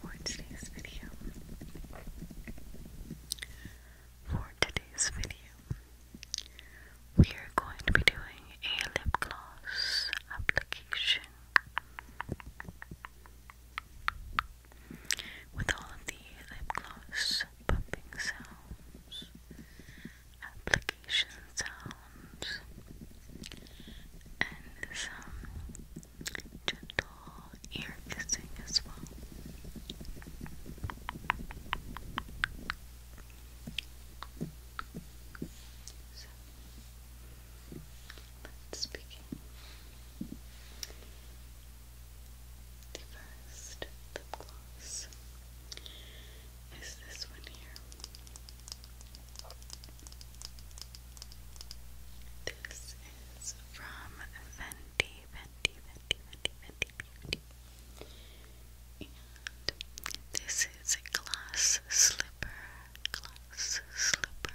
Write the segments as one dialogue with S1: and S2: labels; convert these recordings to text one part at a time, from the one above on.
S1: For today's video, for today's video, we are going to be doing a lip gloss application. With all of the lip gloss bumping sounds, application sounds, and some gentle ear kissing as well let The first lip gloss is this one here. This is from Fenty, Fenty, Fenty, Fenty, Fenty, Fenty. this is a glass slipper, glass slipper,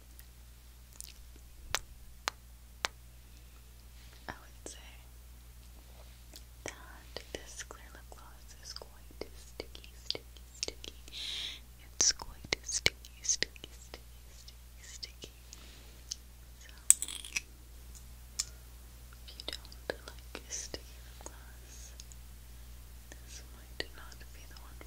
S1: I would say that this clear lip gloss is quite sticky, sticky, sticky. It's quite sticky, sticky, sticky, sticky, sticky. So, if you don't like sticky gloss, this might not be the one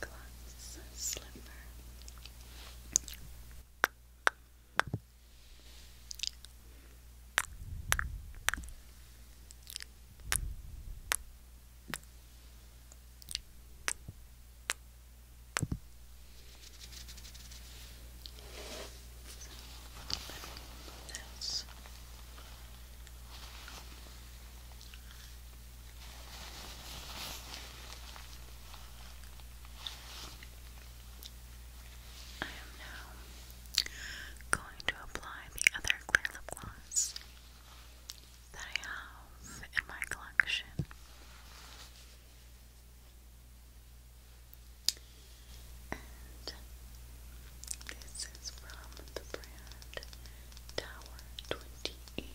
S1: Glass slipper this. Okay. I am now going to apply the other clear lip gloss that I have in my collection. And this is from the brand Tower 28.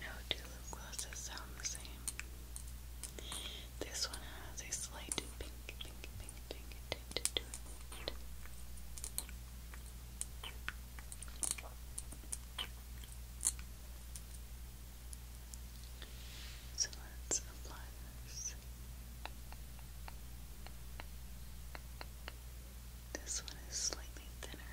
S1: No two lip sound the same. This one has a slight pink, pink, pink, pink tint to it. So let's apply this. This one is slightly thinner.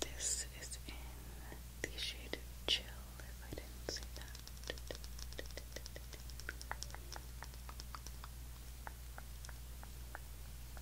S1: This is in the shade of chill, if I didn't see that.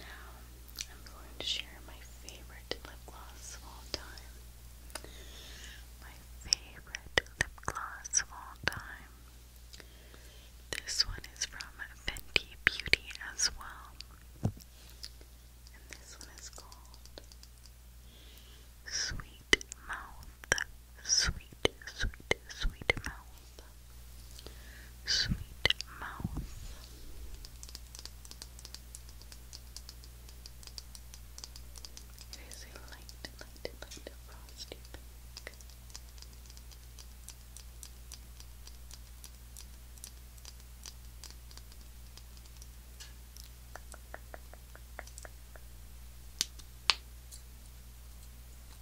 S1: Now, I'm going to share my favorite lip gloss of all time. My favorite lip gloss of all time. This one is from Fenty Beauty as well. And this one is called Sweet Mouth. Sweet, sweet, sweet mouth. Sweet mouth. It is a light, light, light frosty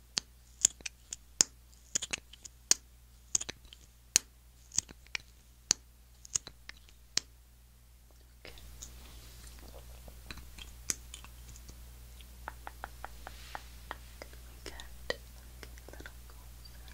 S1: Okay. We get okay, a little closer. Okay.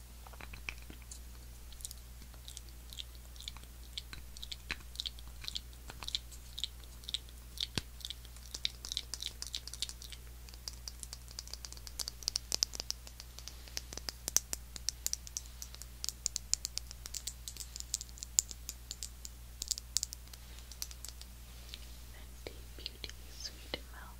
S1: Fenty Beauty Sweet Mouth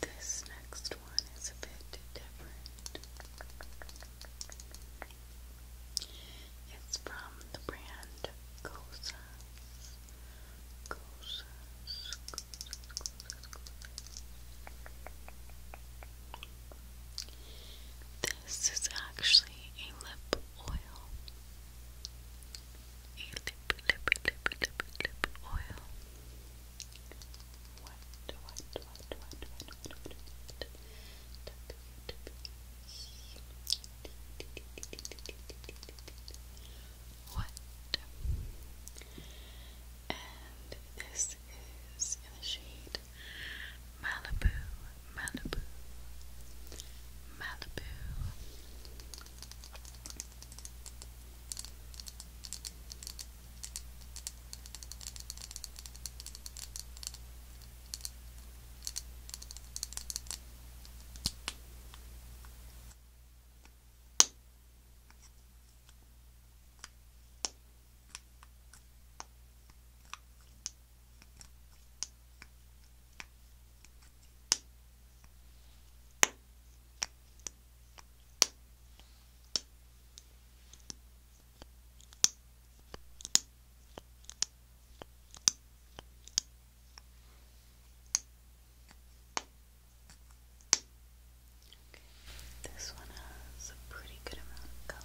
S1: This next one is a bit different. It's from the brand Gosas. This is actually a lip oil. A lip, lip, lip, lip, lip oil. What, what, what, what, what, what, what, what? What? And this is in the shade Malibu, Malibu, Malibu. Okay. This one has a pretty good amount of color.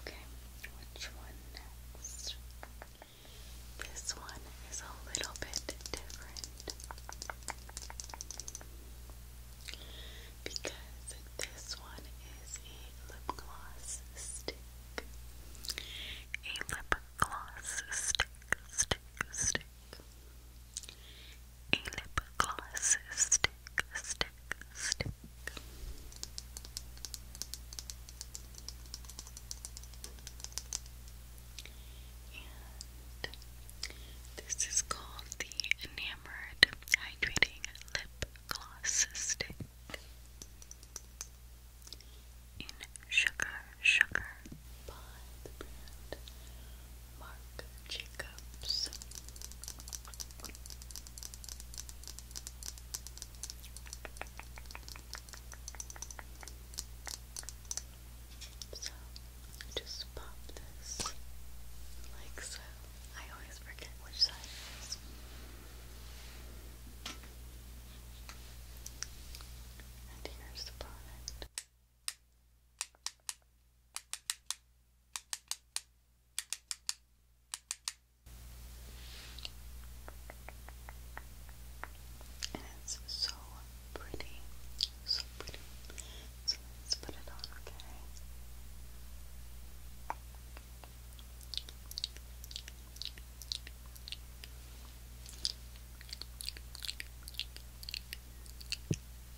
S1: Okay, which one next? This one is a little bit different because this one is a lip gloss stick. A lip gloss stick, stick, stick a lip gloss stick, stick, stick. And this is called the Enamored Hydrating Lip Gloss Stick in Sugar Sugar by the brand Mark Jacobs. So, just pop this like so. I always forget which side And here's the product. And it's so pretty, so pretty. So let's put it on, okay? Okay.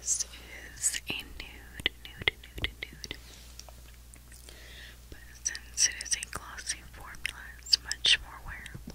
S1: this is a nude, nude, nude, nude. But since it is a glossy formula, it's much more wearable.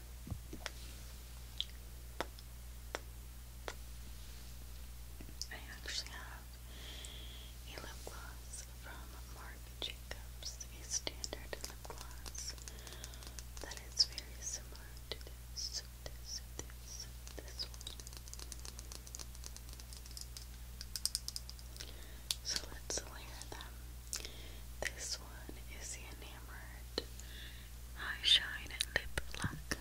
S1: I actually have a lip gloss from Marc Jacobs, a standard lip gloss that is very similar to this, this, this, this one. So let's layer them. This one is the enamored High Shine Lip Lock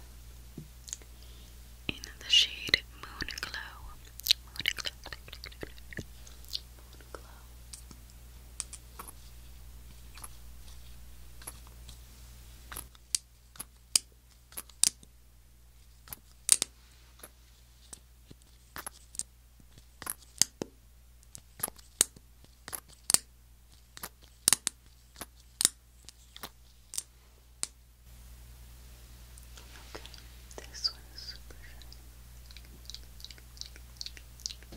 S1: in the shade Moon Glow. Okay, this one is super shiny. Okay.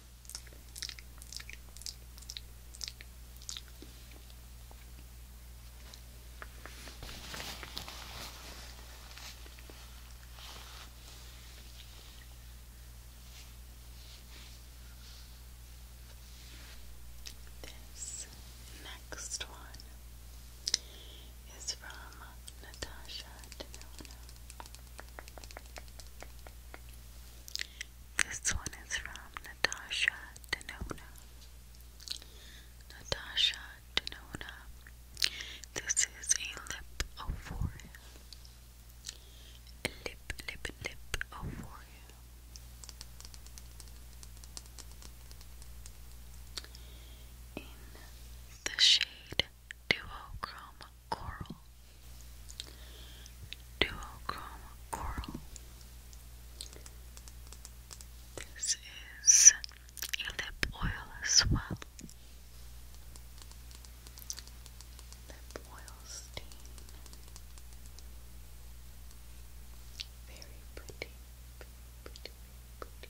S1: This next one is from Natasha this one is from Natasha Denona. Natasha Denona. This is a lip euphoria. Lip, lip, lip euphoria. In the shade Duochrome coral, duochrome coral. This is lip oil as well. Lip oil stain. Very pretty, pretty, pretty.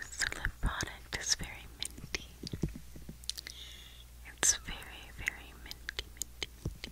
S1: This lip product is very minty. It's very, very minty, minty.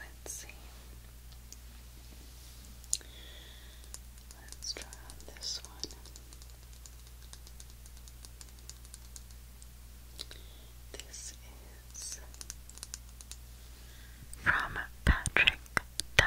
S1: Let's see. Let's try this one. This is from Patrick Da.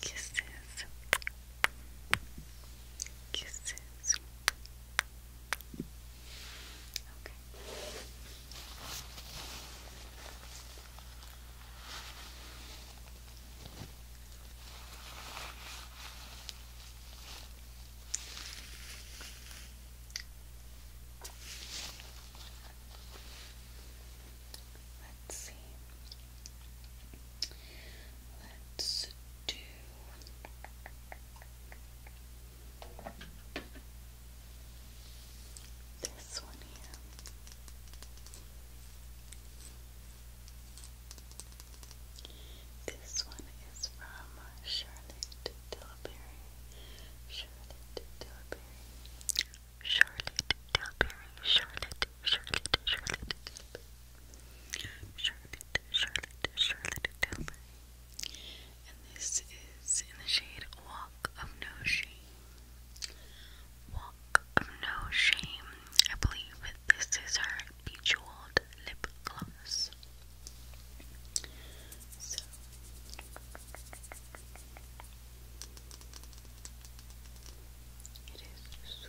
S1: Kisses. Kisses. Okay. Let's see. Let's do this one here. This one is from Charlotte Tilbury. Charlotte Tilbury. Charlotte Tilbury. Charlotte, Charlotte, Charlotte Charlotte, Charlotte, Charlotte Tilbury. And this is in the shade Walk of No Shame. Walk of No Shame. I believe this is her Bejeweled Lip Gloss. So. It is so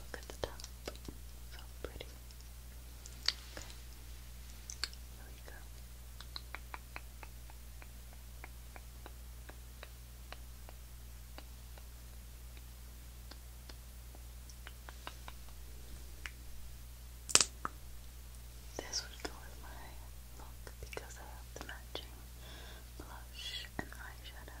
S1: Look at the top. So pretty. Okay. There we go. Okay. This would go with my look because I have the matching blush and eyeshadow.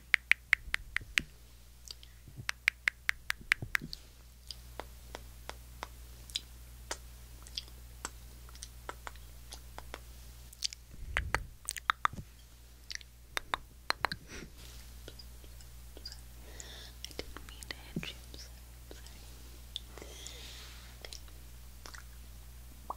S1: I didn't mean to hit you. I'm sorry. I'm sorry. Okay.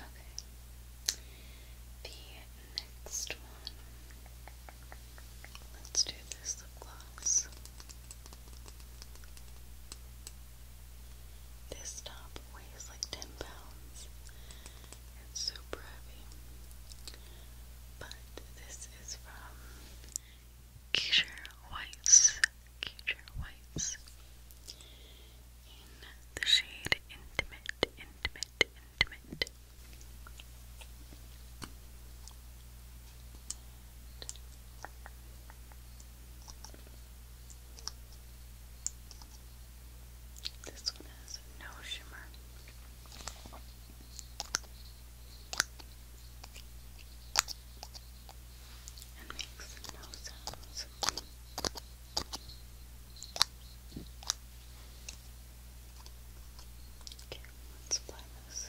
S1: Okay. The next one. Let's do this lip gloss. This top weighs like 10 pounds. It's super heavy. But this this is from Keisha White's, Keisha White's, in the shade Intimate, Intimate, Intimate. This one has no shimmer and makes no sounds. Okay, let's apply this.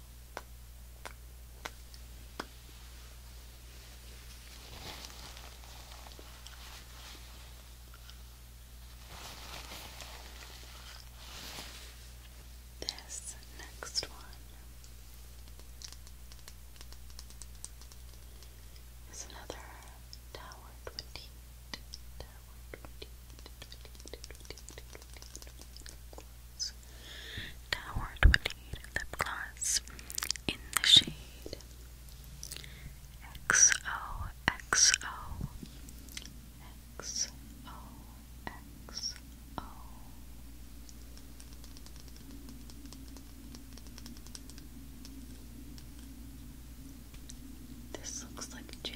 S1: This next one is another tower twenty eight. Gloss Tower 28 Lip Gloss in the shade XOXO This looks like jam.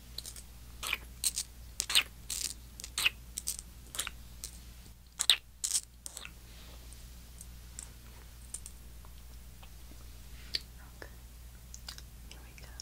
S1: Okay. Here we go. Okay.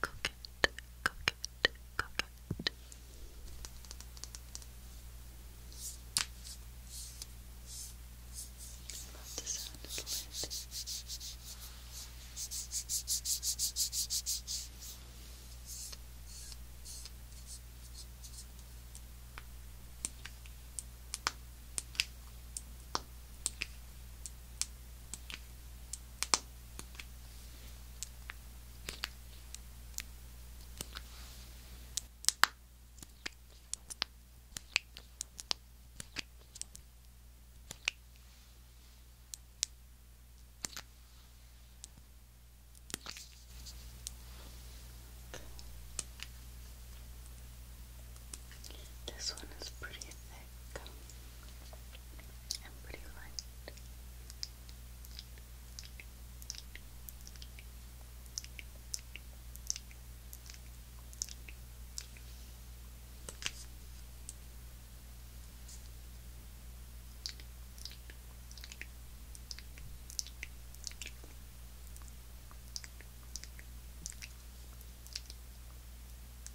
S1: Coquette, coquette, coquette. Love the sound of the lid. This one is pretty thick and pretty light. Now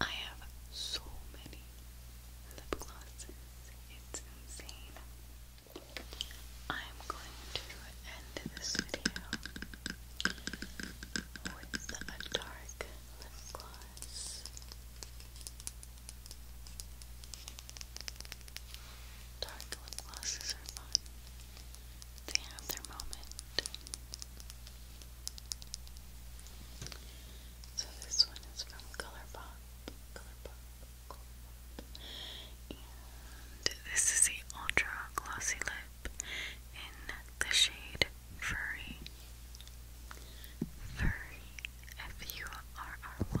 S1: I have so many lip glosses, it's insane. I'm going to end this video with a dark lip gloss. Dark lip glosses are fun. They have their moment. So this one is from Colourpop. Colourpop. Colourpop. And this is the Ultra Glossy Lip in the shade Furry. Furry. F-U-R-R-Y.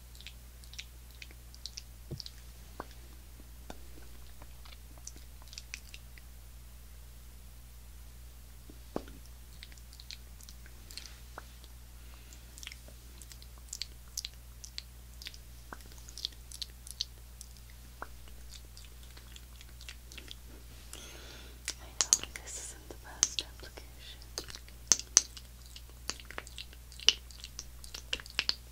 S1: I know this isn't the best application.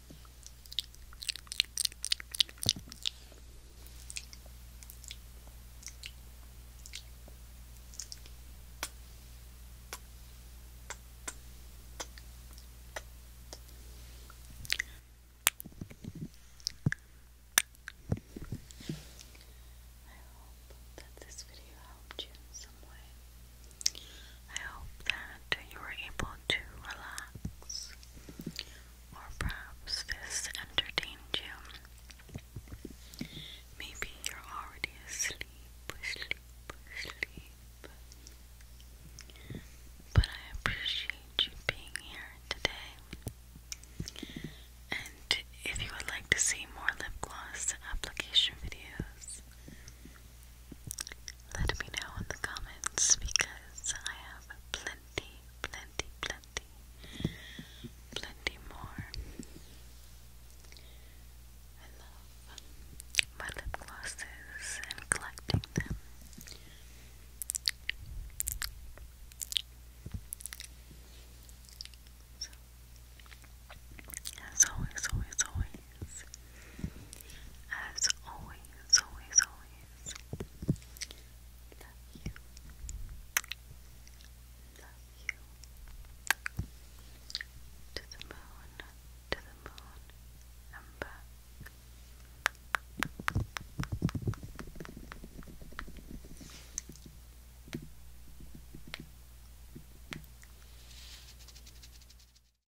S1: I hope that this video helped you in some way. I hope that you were able to relax or perhaps this entertained you. Maybe you're already asleep, asleep, asleep. But I appreciate you being here today. And if you would like to see more lip gloss application videos, let me know in the comments because I have plenty, plenty, plenty, plenty more. I love my lip glosses and collecting them. So, as always, always, always guys. As always, always, always, love you. Love you. To the moon, to the moon, i